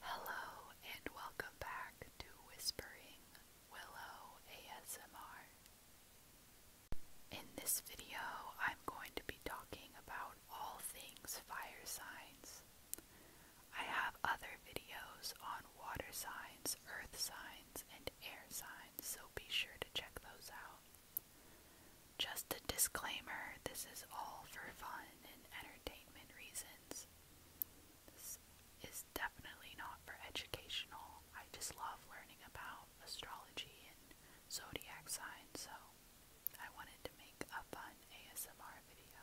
Hello and welcome back to Whispering Willow ASMR. In this video, I'm going to be talking about all things fire signs. I have other videos on water signs, earth signs, and air signs, so be sure to check those out. Just a disclaimer, this is all for fun fun entertainment reasons. This is definitely not for educational. I just love learning about astrology and zodiac signs, so I wanted to make a fun ASMR video.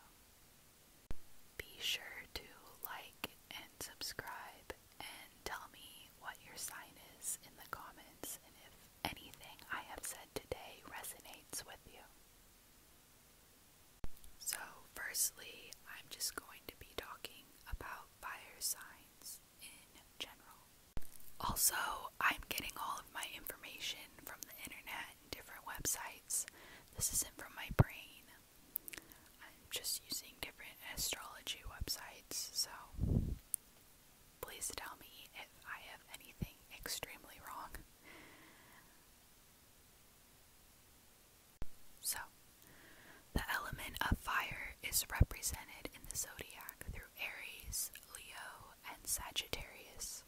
Be sure to like and subscribe and tell me what your sign is in the comments and if anything I have said today resonates with you. So, firstly, I'm just going to be talking about fire signs in general. Also, I'm getting all of my information from the internet and different websites. This isn't from my brain. I'm just using different astrology websites, so please tell me if I have anything extremely wrong. So, the element of fire is represented in the zodiac through Aries, Leo, and Sagittarius.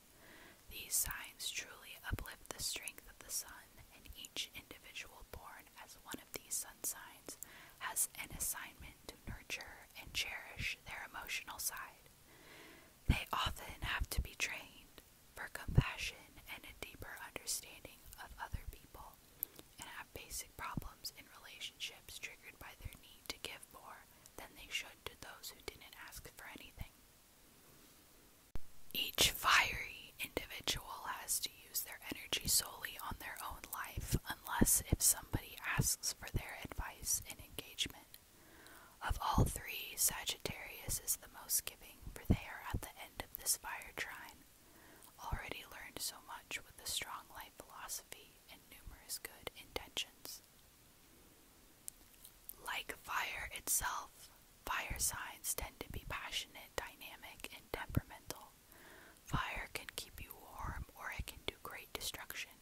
These signs truly uplift the strength of the sun, and each individual born as one of these sun signs has an assignment to nurture and cherish their emotional side they often have to be trained for compassion and a deeper understanding of other people and have basic problems in relationships triggered by their need to give more than they should to those who didn't ask for anything. Each fiery individual has to use their energy solely on their own life unless if somebody asks for their advice and engagement. Of all three, Sagittarius is the most giving, for they are at the end of this fire trine, already learned so much with a strong life philosophy and numerous good intentions. Like fire itself, fire signs tend to be passionate, dynamic, and temperamental. Fire can keep you warm or it can do great destruction.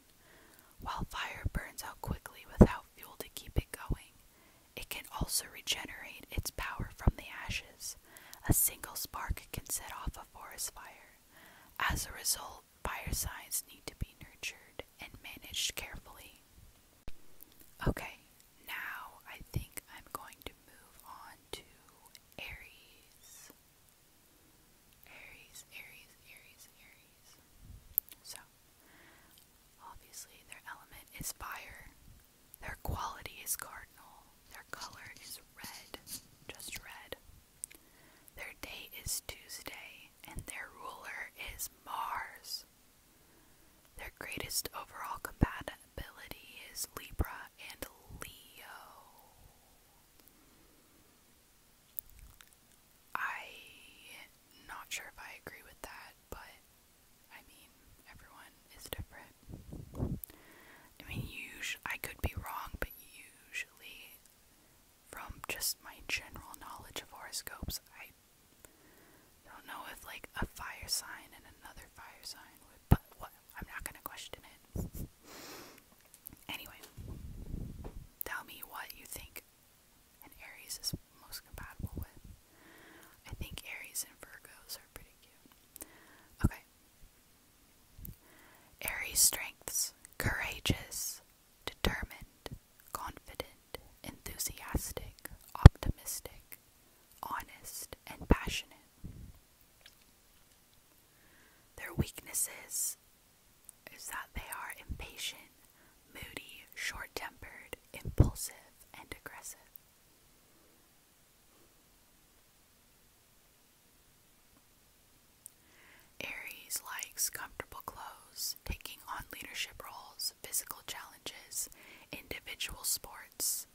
While fire burns out quickly without fuel to keep it going, it can also regenerate its power from the ashes. A single spark can set off a forest fire. As a result, fire signs need to be nurtured and managed carefully. Okay, now I think I'm going to move on to Aries. Aries, Aries, Aries, Aries. So, obviously, their element is fire, their quality is cardinal, their color is red, just red. Their day is Tuesday, and their ruler is Mars. Their greatest overall compatibility is Libra and Leo i not sure if I agree with that, but I mean, everyone is different. I mean, usually, I could be wrong, but usually, from just my general knowledge of horoscopes, I don't know if like a fire sign and another fire sign would, but what? I'm not gonna question it. Anyway, tell me what you think Aries is most compatible with. I think Aries and Virgos are pretty cute. Okay. Aries strengths courageous, determined, confident, enthusiastic, optimistic, honest, and passionate. Their weaknesses is that they are impatient, moody, short tempered, impulsive, and aggressive. Aries likes comfortable clothes, taking on leadership roles, physical challenges, individual sports,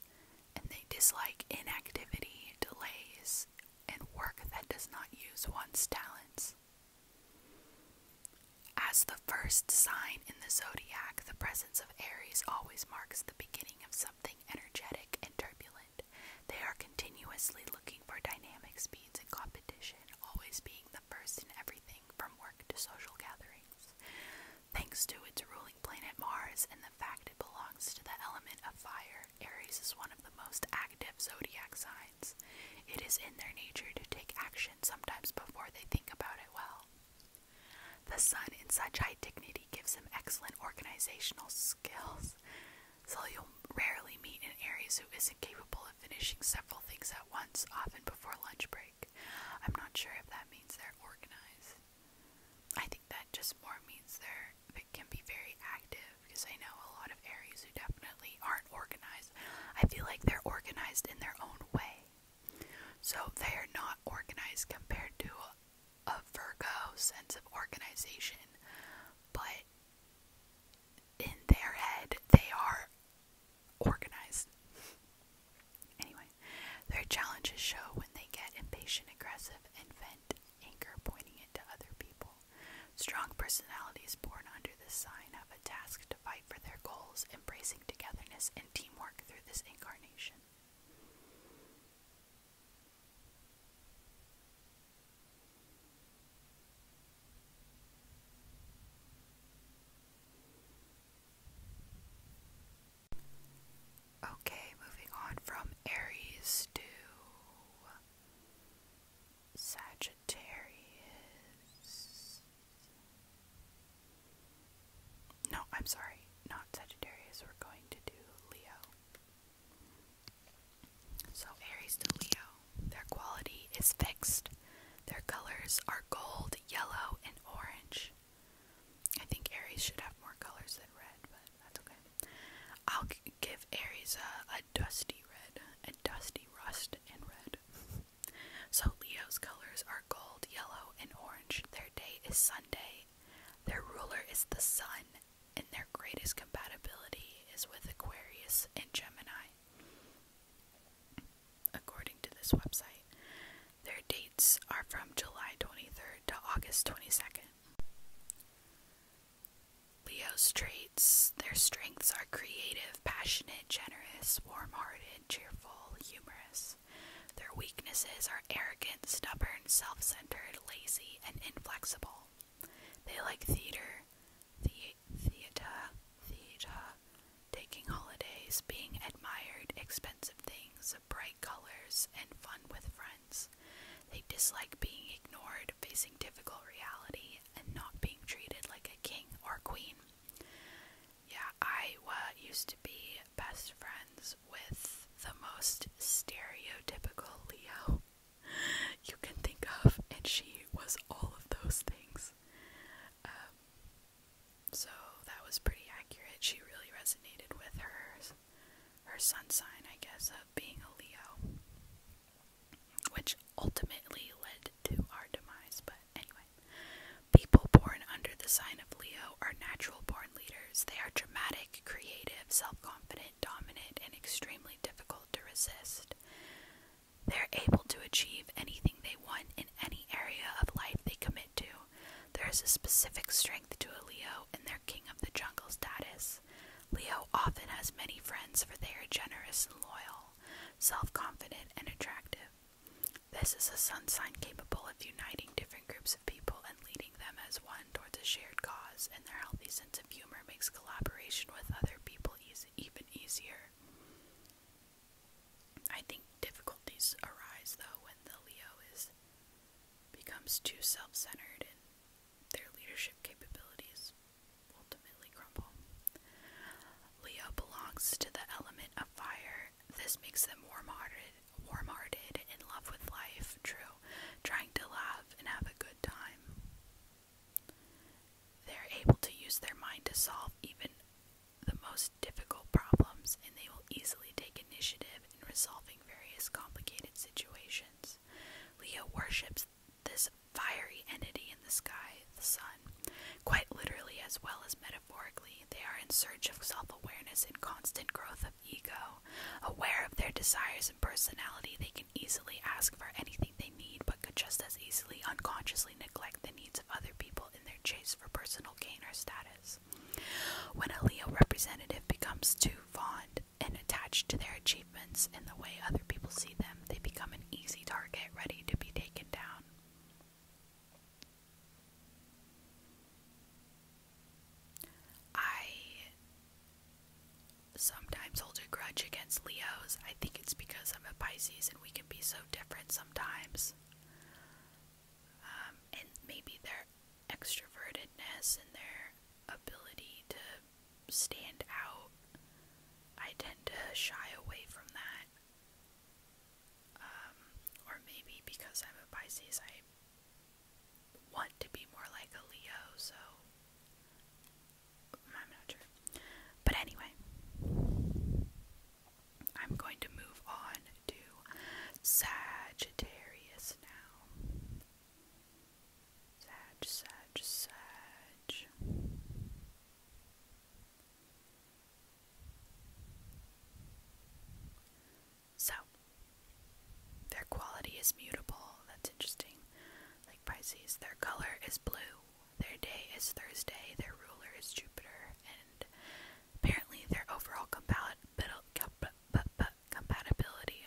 and they dislike inactivity, delays, and work that does not use one's talents. As the first sign in the zodiac, the presence of Aries always marks the beginning of something energetic and turbulent. They are continuously looking for dynamic speeds and competition, always being the first in everything from work to social gatherings. Thanks to its ruling planet Mars and the fact it belongs to the element of fire, Aries is one of the most active zodiac signs. It is in their nature to take action sometimes before they think about it well. The sun in such high dignity gives him excellent organizational skills, so you'll rarely meet an Aries who isn't capable of finishing several things at once, often before lunch break. I'm not sure if that means they're organized. I think that just more means they're can be very active because I know a lot of Aries who definitely aren't organized. I feel like they're organized in their own way. So they are not organized compared to a, a Virgo sense of organization, but in their head they are organized. Anyway, their challenges show when they get impatient, aggressive, and vent anger pointing it to other people. Strong personalities born under this sign have a task to fight for their goals, embracing togetherness and teamwork through this incarnation. Okay, moving on from Aries to Sagittarius. No, I'm sorry, not Sagittarius. We're going to do Leo. So, Aries to Leo. Their quality is fixed. Their colors are gold, yellow, and orange. I think Aries should have more colors than red, but that's okay. I'll give Aries a, a dusty red, a dusty rust and red. so Leo's colors are gold, yellow, and orange. Their day is Sunday. Their ruler is the sun, and their greatest compatibility is with Aquarius and Gemini. According to this website, their dates are from July 23rd to August 22nd. Leo's traits, their strengths are creative, passionate, generous, warm hearted, cheerful, humorous. Their weaknesses are arrogant, stubborn, self centered, lazy, and inflexible. They like theater, theater, theater, taking holidays, being admired, expensive things, bright colors and fun with friends. They dislike being ignored, facing difficult reality, and not being treated like a king or queen. Yeah, I uh, used to be best friends with the most stereotypical Leo you can think of, and she was all of those things. Um, so that was pretty accurate. She really resonated with hers, her sun sign, I guess, of being a Leo, which ultimately led to our demise. But anyway, people born under the sign of Leo are natural born leaders. They are dramatic, creative, self-confident, dominant, and extremely difficult to resist. They're able to achieve anything they want in any area of life they commit to. There is a specific strength to a Leo in their king of the jungle status. Leo often has many friends for they are generous and loyal, self confident, and attractive. This is a sun sign capable of uniting different groups of people and leading them as one towards a shared cause, and their healthy sense of humor makes collaboration with other people even easier. I think difficulties arise though when the Leo is becomes too self-centered and their leadership capabilities ultimately crumble. Leo belongs to the element of fire. This makes them warm-hearted, warm-hearted, in love with life, true, trying to laugh and have a good time. They're able to use their mind to solve even the most difficult problems, and they will easily take initiative in resolving various complicated situations. Leo worships this fiery entity in the sky, the sun. Quite literally as well as metaphorically, they are in search of self awareness and constant growth of ego. Aware of their desires and personality, they can easily ask for anything they need, but could just as easily unconsciously neglect the needs of other people in their chase for personal gain or status. When a Leo representative becomes too fond and attached to their achievements and the way other people see them, they become an easy target ready to be taken down. I sometimes hold a grudge against Leos. I think it's because I'm a Pisces and we can be so different sometimes um, and maybe their extrovertedness and their ability to stand out, I tend to shy away from that. Um, or maybe because I'm a Pisces, I want to be more like a Leo, so I'm not sure. But anyway, I'm going to move on to Sagittarius now. Sag, Sag, Sag. So, their quality is mutable. That's interesting. Like Pisces, their color is blue. Their day is Thursday, their ruler is Jupiter, and apparently their overall compatibility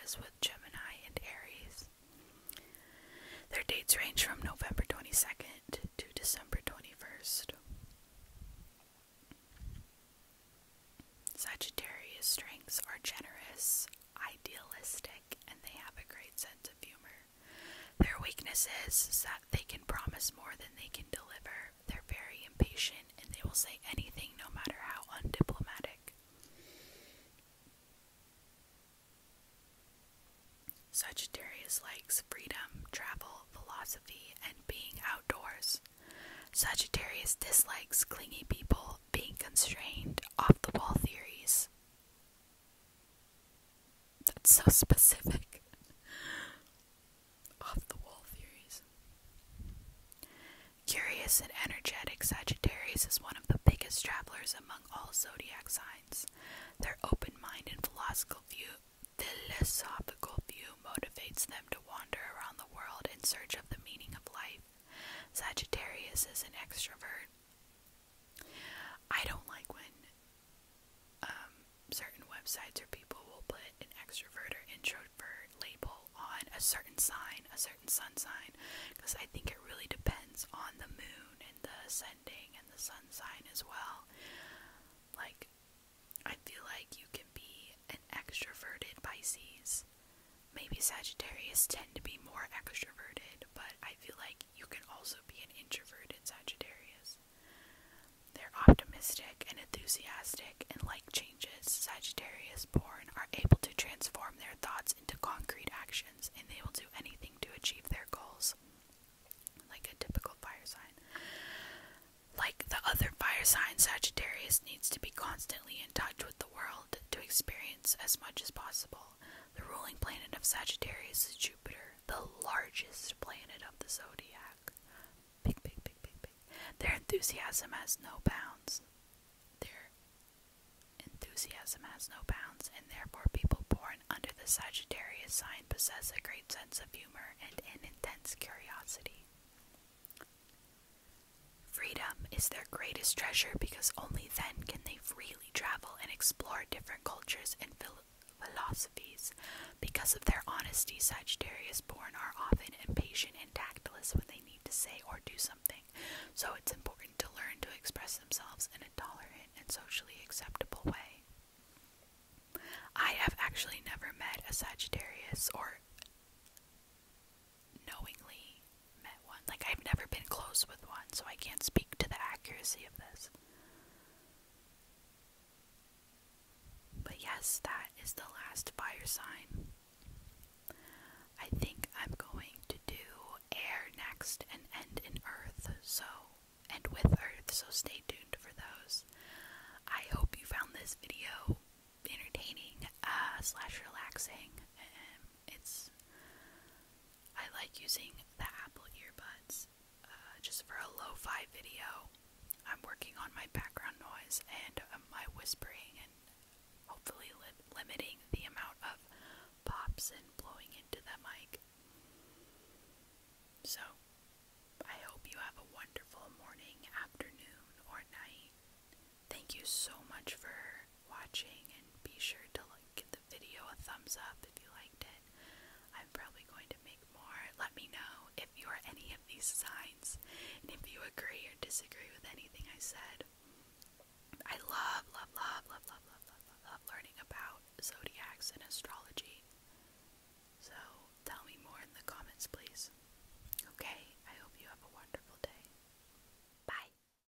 is with Gemini and Aries. Their dates range from November 22nd to December 21st. Sagittarius strengths are generous, idealistic, and they have a great sense of humor. Their weakness is that they can promise more than they can deliver. They're very impatient and they will say anything no matter how undiplomatic. Sagittarius likes freedom, travel, philosophy, and being outdoors. Sagittarius dislikes clingy people, being constrained, off the wall theories, that's so specific. Off the wall theories. Curious and energetic Sagittarius is one of the biggest travelers among all zodiac signs. Their open mind and philosophical view, philosophical view motivates them to wander around the world in search of the meaning of life. Sagittarius is an extrovert I don't like when um, certain websites or people will put an extrovert or introvert label on a certain sign, a certain sun sign, because I think it really depends on the moon and the ascending and the sun sign as well. Like, I feel like you can be an extroverted Pisces. Maybe Sagittarius tend to be more extroverted, but I feel like you can also be an introverted Sagittarius. They're optimistic and enthusiastic, and like changes, Sagittarius born are able to transform their thoughts into concrete actions, and they will do anything to achieve their goals. Like a typical fire sign. Like the other fire sign, Sagittarius needs to be constantly in touch with the world to experience as much as possible. The ruling planet of Sagittarius is Jupiter, the largest planet of the zodiac. Big, big, big, big, big. Their enthusiasm has no bounds. Their enthusiasm has no bounds, and therefore people born under the Sagittarius sign possess a great sense of humor and an intense curiosity. Freedom is their greatest treasure because only then can they freely freely travel and explore different cultures and phil philosophies. Because of their honesty, Sagittarius born are often impatient and tactless when they need to say or do something, so it's important to learn to express themselves in a tolerant and socially acceptable way. I have actually never met a Sagittarius or knowingly one. Like, I've never been close with one, so I can't speak to the accuracy of this. But yes, that is the last fire sign. I think I'm going to do air next and end in earth, so, and with earth, so stay tuned for those. I hope you found this video entertaining, uh, slash relaxing, it's I like using the Apple earbuds uh, just for a lo-fi video. I'm working on my background noise and um, my whispering and hopefully limiting the amount of pops and blowing into the mic. So, I hope you have a wonderful morning, afternoon, or night. Thank you so much for watching and be sure to like, give the video a thumbs up if you liked it. I'm probably going to make more. Let me know if you are any of these signs and if you agree or disagree with anything I said. I love, love, love, love, love, love, love, love, love learning about zodiacs and astrology. So tell me more in the comments, please. Okay, I hope you have a wonderful day. Bye.